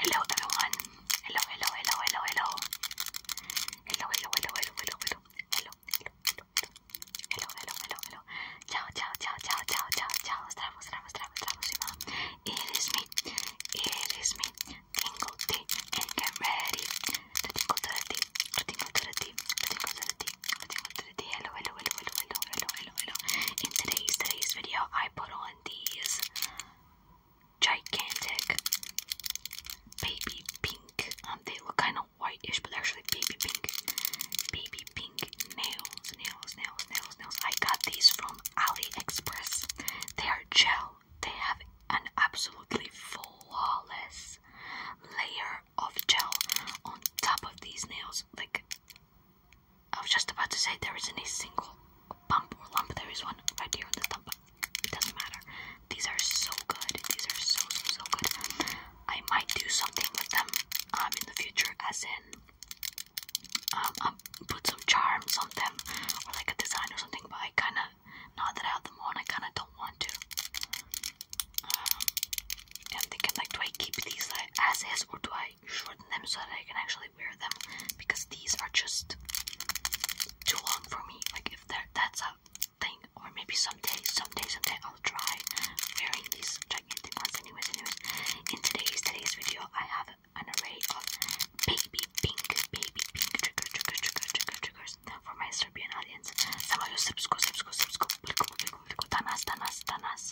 Hello everyone. Hello, hello, hello, hello, hello. Hello, hello, hello, hello, hello, hello. Hello, hello, hello, hello. Hello, hello, hello, hello. Ciao, ciao, ciao, ciao, ciao, ciao, ciao. Stravo, stravo, stravo, stravosima. It is me. It is me. Tingle tea and get ready. To tingle to the tea. To tingle to the tea. To tingle to the tea. To tingle to the tea. Hello, hello, hello, hello, hello, hello, hello, hello. In today's today's video I put on these gigantic baby pink. Um, they look kind of whitish, but they're actually baby pink. Baby pink nails, nails, nails, nails, nails. I got these from AliExpress. They are gel. They have an absolutely flawless layer of gel on top of these nails. Like I was just about to say there isn't a single bump or lump. There is one right here on the thumb. It doesn't matter. These are so good. These are so, so, so good. I might do something with them um, in the future, as in um, um, put some charms on them or like a design or something, but I kind of, not that I have them on, I kind of don't want to. Um, I'm thinking like, do I keep these like, as is or do I I shorten them so that I can actually wear them because these are just too long for me. Like if that that's a thing, or maybe someday, someday, someday I'll try wearing these gigantic ones. Anyways, anyways, in today's today's video, I have an array of baby pink, baby pink trigger, trigger, trigger, trigger, triggers for my Serbian audience. Some of you subscribe, subscribe, subscribe, tanas, tanas, tanas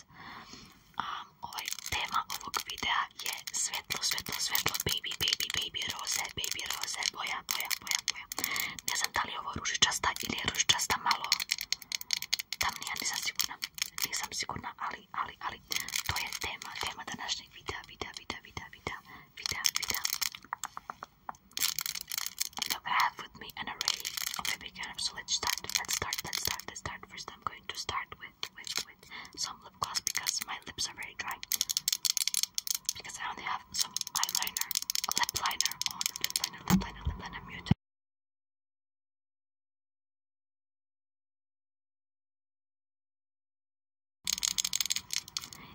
um, ovaj tema ovog videa je svetlo, svetlo, svetlo, baby, baby, baby, roze, baby, roze, boja, boja, boja, boja. Ne da li ovo ružičasta ili ružičasta malo tamnija, nisam sigurna. Nisam sigurna, ali, ali, ali, to je tema, tema današnjeg videa, videa, videa, videa, videa, videa, videa. So grab with me an array of baby carrots, so let start, let's start, let's start, let's start. First I'm going to start with with, some lip gloss because my lips are very dry. Because I only have some eyeliner, lip liner on,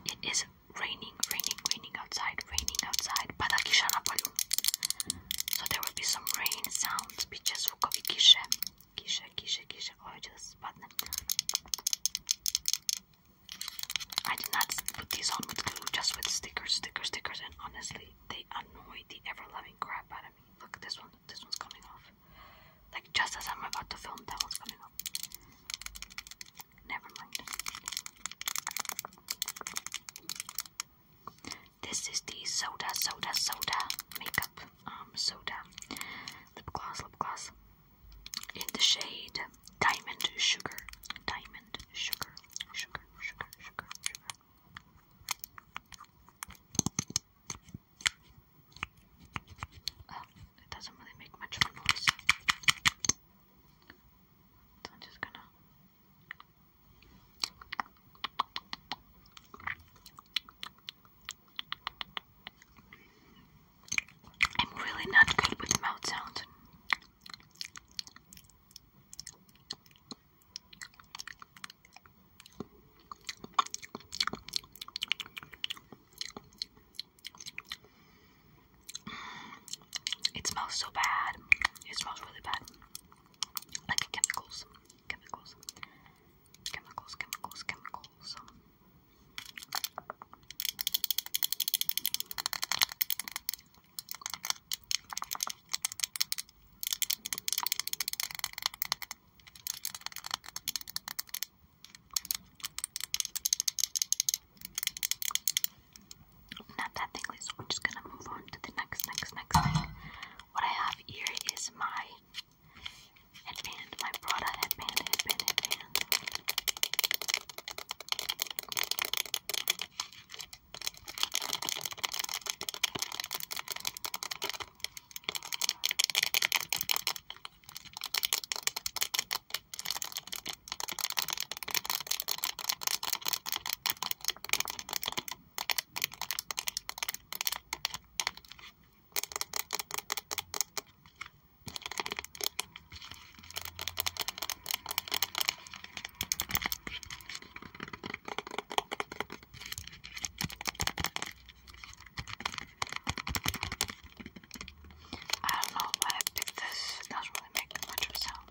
It is raining, raining, raining outside, raining outside. Padakisha So there will be some rain sounds. Because Kisze, kisze, kisze. Oh, just spadnę. I did not put these on with glue, just with stickers, stickers, stickers, and honestly, they annoy the ever-loving crap out of me. Look, this one, this one's coming off. Like, just as I'm about to film, that one's coming off. Never mind. This is the Soda Soda Soda makeup um soda lip gloss lip gloss in the shade Diamond Sugar Diamond Sugar Sugar Sugar Sugar Sugar. Oh, it doesn't really make much noise. I'm just gonna I'm really not good with mouth sounds. It smells so bad. It smells really bad. Like chemicals. Chemicals. Chemicals, chemicals, chemicals. Not that thing, so we're just gonna move on to the next, next, next thing. What I have here is my Headband, my Prada headband, headband, headband. I don't know why I picked this. It doesn't really make much of a sound.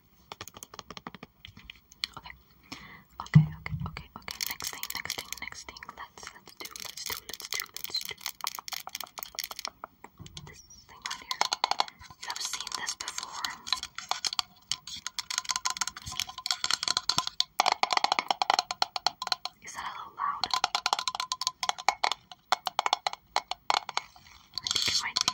Okay. Okay, okay, okay, okay. Next thing, next thing, next thing. Let's let's do, let's do, let's do, let's do. This thing right here. I've seen this before. Is that a little loud? I think it might be.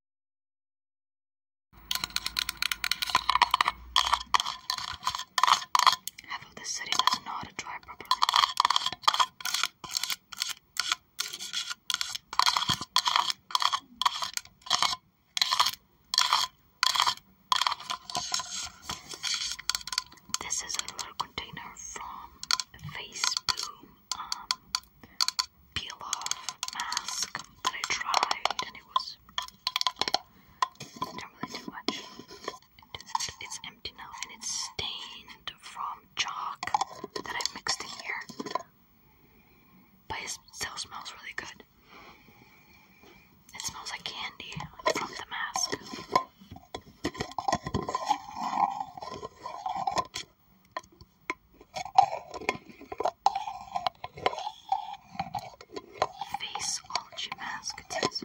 Half of the city doesn't know how to This is a little container from Facebook um, peel off mask that I tried and it was don't really do much. It's empty now and it's stained from chalk that I mixed in here. But it still smells really good. It smells like candy from the mask. Face Ultra Mask Test.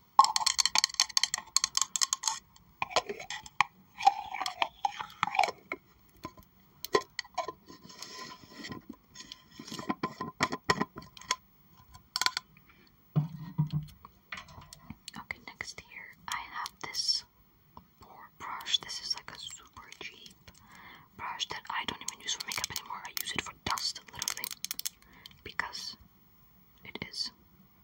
Okay, next here I have this board brush. This is like a super cheap brush that I don't even use for makeup anymore. I use it for dust, literally, because it is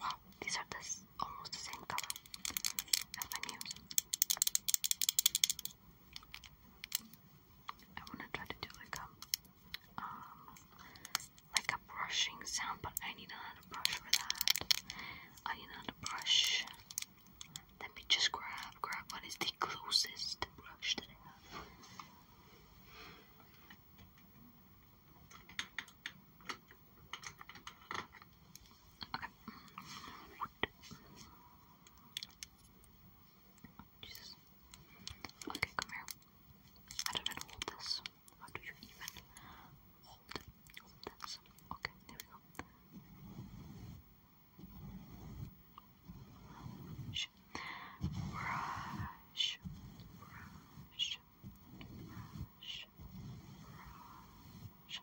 Wow, these are this almost the same color as my muse. I want to try to do like a, um, like a brushing sound, but I need another brush for that. I need another brush. Let me just grab, grab what is the closest brush that I have. Okay out. Jesus. Okay, come here. I don't even hold this. How do you even hold this? Okay, there we go. Brush, brush, brush, brush, brush.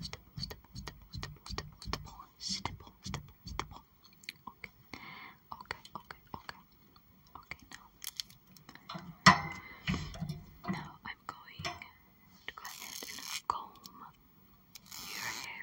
stipple, stipple, stipple, stipple, stipple, stipple, stipple, stipple, Okay, okay, okay, okay, okay. Now, now I'm going to go ahead and comb your hair.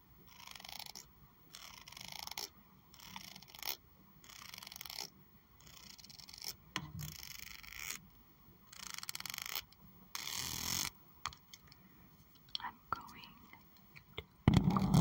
I'm going to call, call, call. Calm, calm, calm,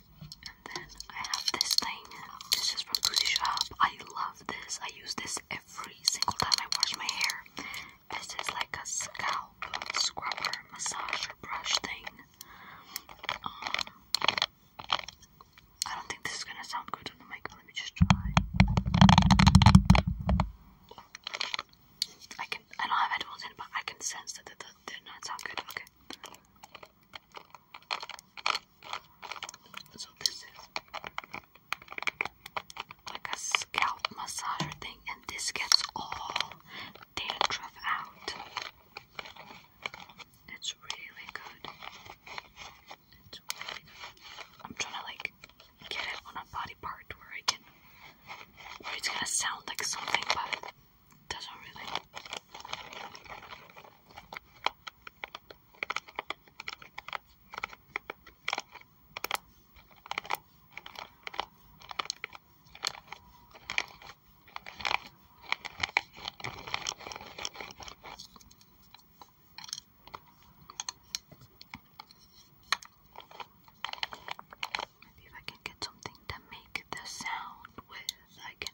And then I have this thing. This is from Cozy Shop. I love this. I use this every single time I wash my hair. This is like a scalp scrubber massager brush thing. Um, I don't think this is gonna sound good on the mic, let me just try. I can I don't have headphones in, but I can sense that it did not sound good. Okay. So this is like a scalp massager thing, and this gets all dandruff out. It's really good. It's really good. I'm trying to like get it on a body part where I can it's gonna sound like something but it doesn't really Maybe if I can get something to make the sound with, I can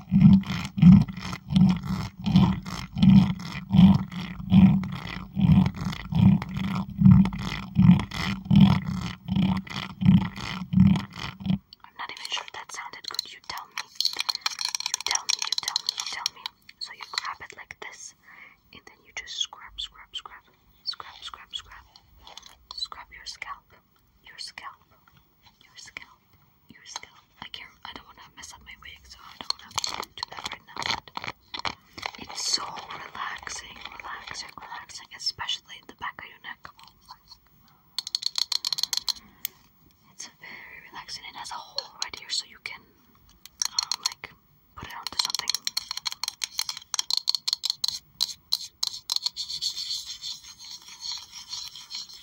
I'm not even sure if that sounded good. You tell me. You tell me, you tell me, you tell me. So you grab it like this, and then you just scrub, scrub, scrub, scrub, scrub, scrub, scrub your scalp, your scalp, your scalp, your scalp. I can I don't want to mess up my wig, so I don't want to do that right now. it's so relaxing, relaxing, relaxing, especially the back of your neck. Oh it's very relaxing. It has a hole right here, so you can um, like put it onto something.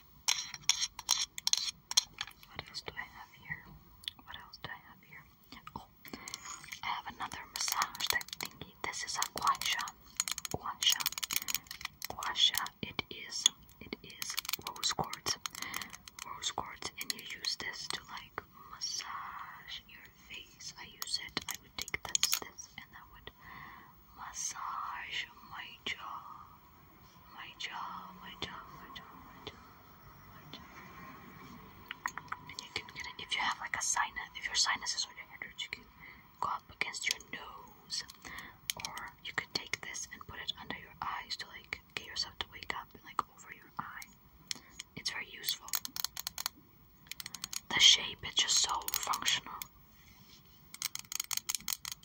What else do I have here? What else do I have here? Oh, I have another massage that thingy. This is a guasha. Guasha. Guasha. It is. It is rose quartz. Rose quartz, and you use this to like massage your face. I use it. I would take this, this, and that would massage my jaw, my jaw, my jaw, my jaw, my jaw, my jaw. And you can get it if you have like a sinus, if your sinuses are damaged, you can go up against your nose, or you could take this and put it under your eyes to like get yourself to wake up and like over your eye. It's very useful. The shape, it's just so functional.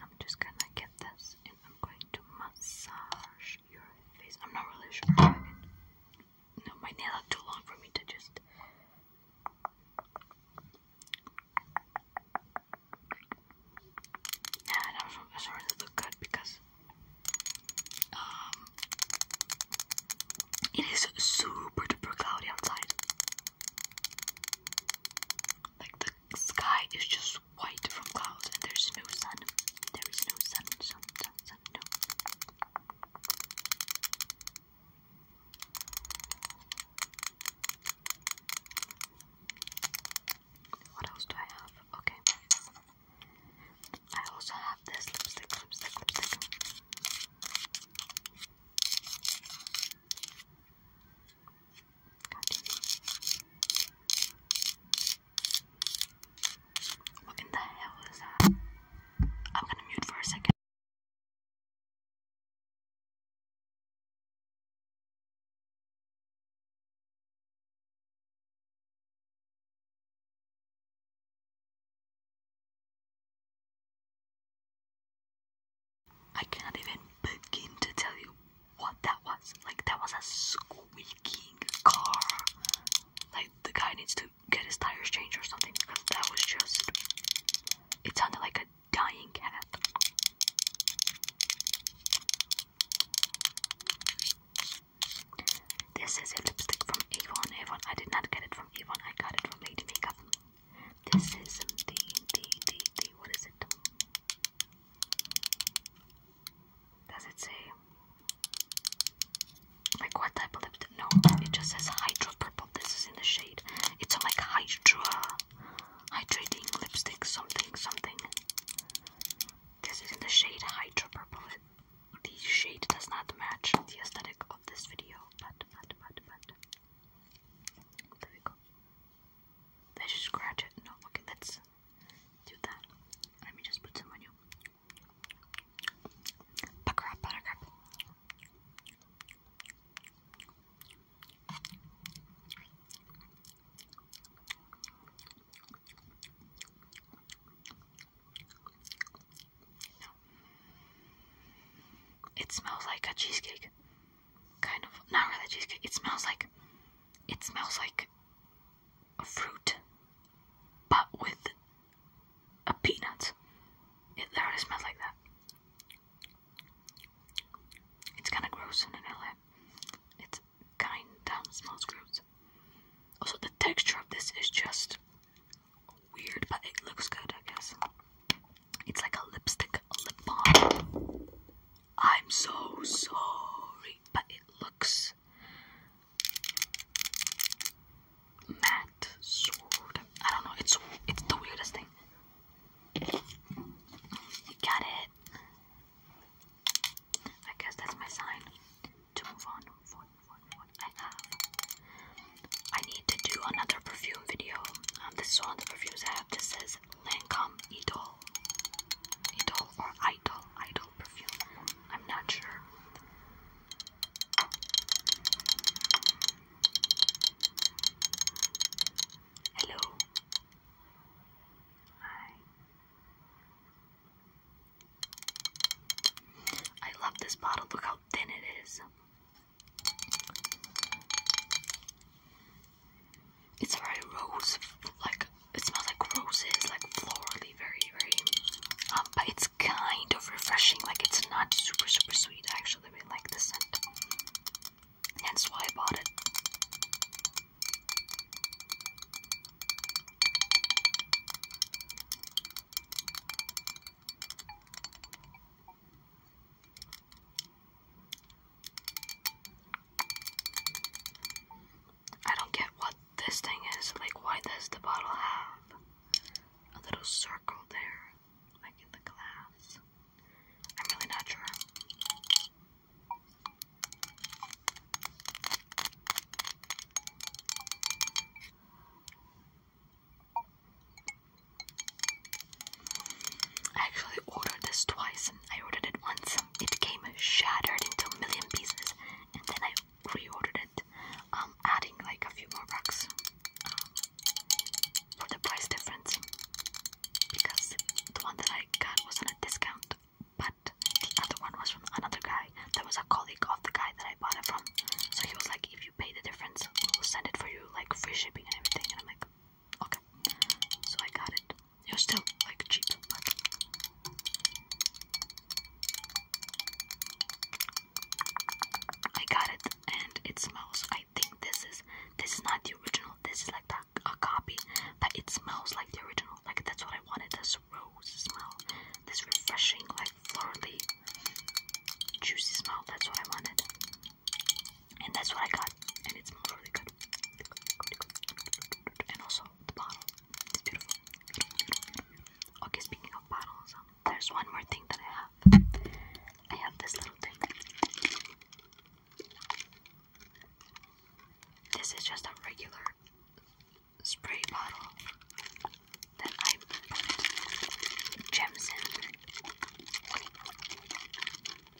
I'm just gonna get this and I'm going to massage your face. I'm not really sure. No, my nails are too long for me to just. Nah, I don't really look good because um, it is super duper cloudy outside. Like the sky is just white from clouds and there's no sun. There is no sun, What else do I have? Okay. I also have this lipstick, lipstick, lipstick. What in the hell is that? I'm gonna mute for a second. I cannot even begin to tell you what that was. Like, that was a squeaking car. Like, the guy needs to get his tires changed or something because that was just. It sounded like a dying cat. This is a lipstick from Avon. Avon, I did not get it from Avon, I got it from Lady Makeup. This is the, the, the, the, what is it? Does it say like what type of lipstick? No, it just says hydro purple. This is in the shade. It's like hydra hydrating lipstick something something. This is in the shade hydra purple. The shade does not match the aesthetic of this video, but but but but there we go. Let's just scratch it. No, okay, let's do that. Let me just put some on you. Pucker up, pucker up. It smells like a cheesecake. Kind of. Not really cheesecake. It smells like it smells like a fruit, but with a peanut. It literally smells like that. It's kind of gross in vanilla. It kind of smells gross. Also, the texture of this is just weird, but it looks good, I guess. It's like a lipstick, a lip balm. I'm so sorry, but it looks matte I don't know. It's it's the weirdest thing. You got it. I guess that's my sign to move on. I need to do another perfume video. Um, this is one of the perfumes I have. This says Lancome Idol, Idol or Idol, Idol perfume. I'm not sure. Hello. Hi. I love this bottle. Look how thin it is. It's very rose, like it smells like roses, like florally, very, very. Um, but it's kind of refreshing. Like it's not super, super sweet. I actually really like the scent. Hence why I bought it. I don't get what this thing is. Like, why does the bottle have a little circle there, like in the glass? I'm really not sure. I actually ordered this twice. I ordered it once it came shattered into a million pieces, and then I reordered it, um, adding like a few more bucks um, for the price difference because the one that I got was on a discount, but the other one was from another guy that was a colleague of the guy that I bought it from. So he was like, "If you pay the difference, we'll send it for you, like free shipping and everything." And I'm like, "Okay." So I got it. You're still like cheap, like. I got it, and it smells. I think this is this is not the original. This is like the, a copy, but it smells like the original. Like that's what I wanted. This rose smell, this refreshing, like florally, juicy smell. That's what I wanted, and that's what I got. And it's. Okay, speaking of bottles, um, there's one more thing that I have. I have this little thing. This is just a regular spray bottle that I put gems in.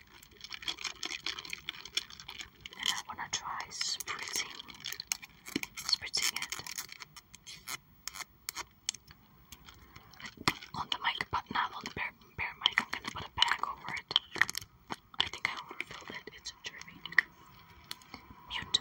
And I want to try spritzing, spritzing it on the mic, but not on the bare, mic. I'm going to put a bag over it. I think I overfilled it. It's dripping. Mute.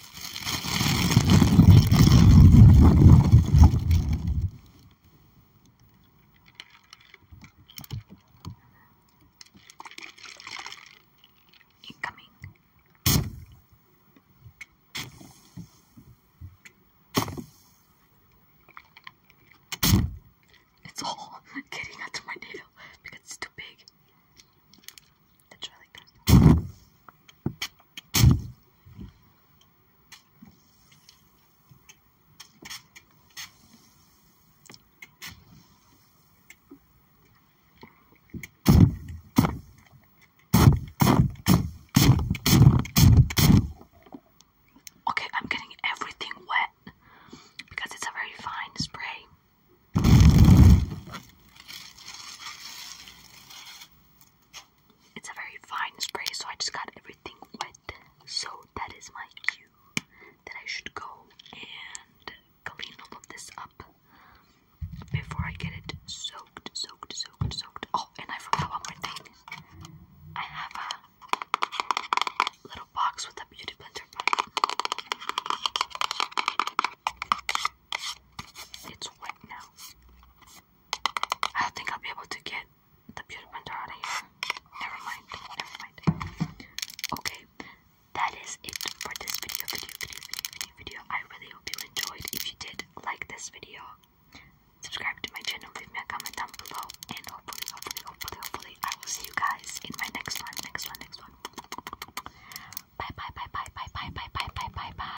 Incoming. It's all getting onto my nail because it's too big. Let's try like that. Okay, I'm getting everything wet because it's a very fine spray. It's a very fine spray, so I just got everything wet. So that is my cue that I should go and clean all of this up before I get it soaked, soaked, soaked, soaked. Oh, and I forgot one more thing. I have a little box with a beauty blender button. It's wet now. I don't think I'll be able to get the beauty blender out of here. Never mind. Never mind. Okay, that is it for this video, video, video, video, video, video. I really hope you enjoyed. If you did like this video, subscribe to my channel, leave me a comment down below, and hopefully, hopefully, hopefully, hopefully, I will see you guys in my next one, next one, next one. Bye, bye, bye, bye, bye, bye, bye, bye, bye, bye, bye.